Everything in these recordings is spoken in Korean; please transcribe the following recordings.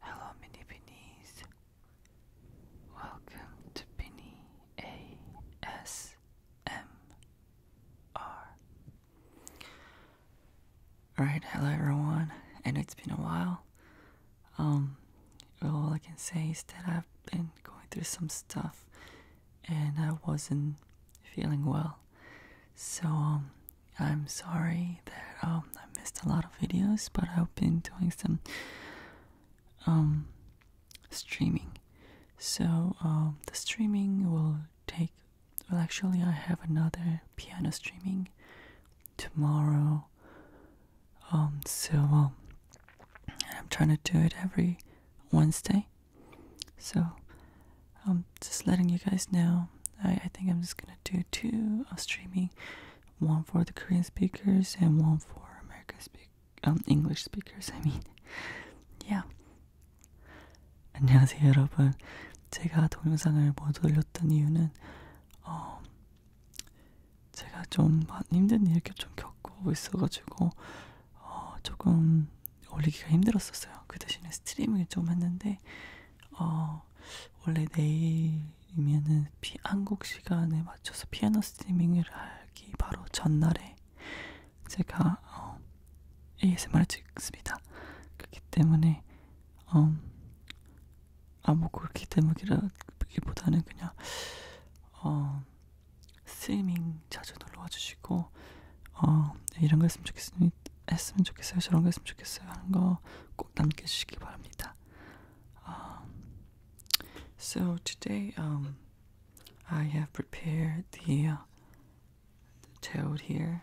Hello, mini Binnies. Welcome to Binny ASMR. Alright, hello everyone, and it's been a while. Um, all I can say is that I've been going through some stuff and I wasn't feeling well. So um, I'm sorry that um, I missed a lot of videos, but I've been doing some um, streaming. So the streaming will take. Well, actually, I have another piano streaming tomorrow. so I'm trying to do it every Wednesday. So, I'm um, just letting you guys know, I, think I'm just gonna do two of streaming, one for the Korean speakers and one for American um, English speakers. I mean, yeah. 안녕하세요 여러분. 제가 동영상을 못 올렸던 이유는 어, 제가 좀 많이 힘든 일을 좀 겪고 있어가지고 어, 조금 올리기가 힘들었었어요. 그 대신에 스트리밍을 좀 했는데 어, 원래 내일이면은 피, 한국 시간에 맞춰서 피아노 스트리밍을 하기 바로 전날에 제가 어, ASMR을 찍습니다. 그렇기 때문에 어, 아무 뭐 그렇기 때문이라기보다는 그냥 어, 스위밍 자주 놀러 와주시고 어 네, 이런 거 했으면 좋겠으니 했으면 좋겠어요 저런 거 했으면 좋겠어요 하는 거꼭 남겨주시기 바랍니다. Um, so today um, I have prepared the, uh, the toad here.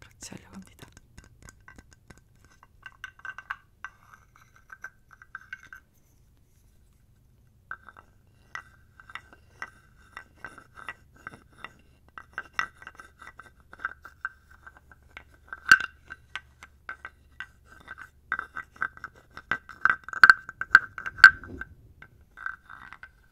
같이 하려고 합니다.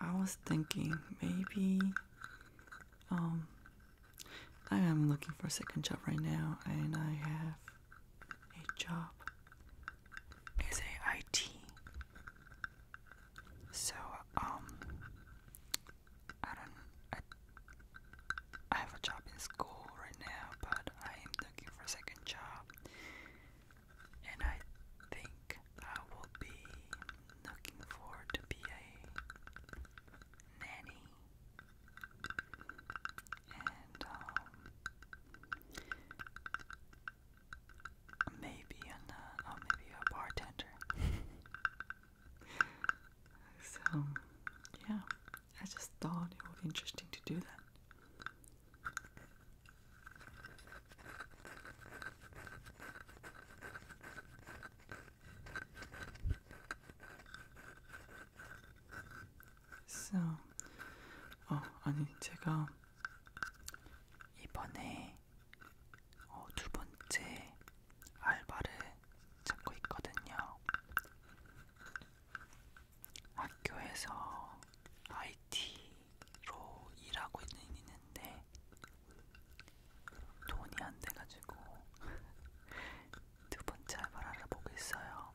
I was thinking maybe um I am looking for a second job right now and I have a job as a IT so um I don't I, I have a job in school right now but I am looking for a second job and I think I will be looking forward to be a nanny. And um, maybe an uh, oh, maybe a bartender. so yeah, I just thought it would be interesting to do that. 쌤, 아, 어, 아니, 제가 이번에 어, 두 번째 알바를 찾고 있거든요. 학교에서 IT 일하고 있는 있는데 돈이 안 돼가지고 두 번째 알바를 알아보고 있어요.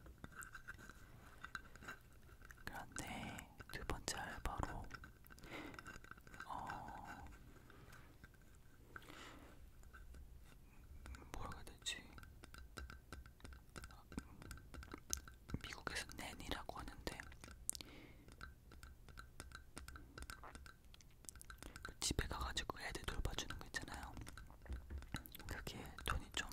그런데 두 번째 알바로 어 뭐라고 해야 되지? 미국에서 낸이라고 하는데 그 집에 가가지고 애들 돌봐주는 거 있잖아요. 그게 돈이 좀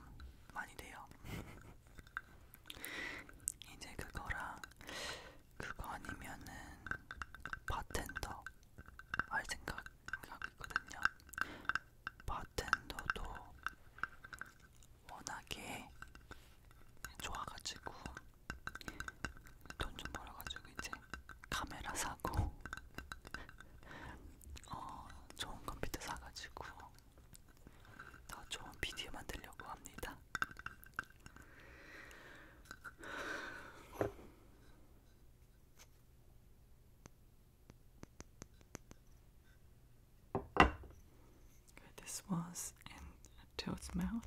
많이 돼요. 이제 그거랑 그거 아니면은 바텐더 할 생각 하고 있거든요. 바텐더도 워낙에 좋아가지고 돈 좀 벌어가지고 이제 카메라 사고 어, 좋은 컴퓨터 사가지고 더 좋은 비디오 만들려고 합니다. this was in a toad's mouth.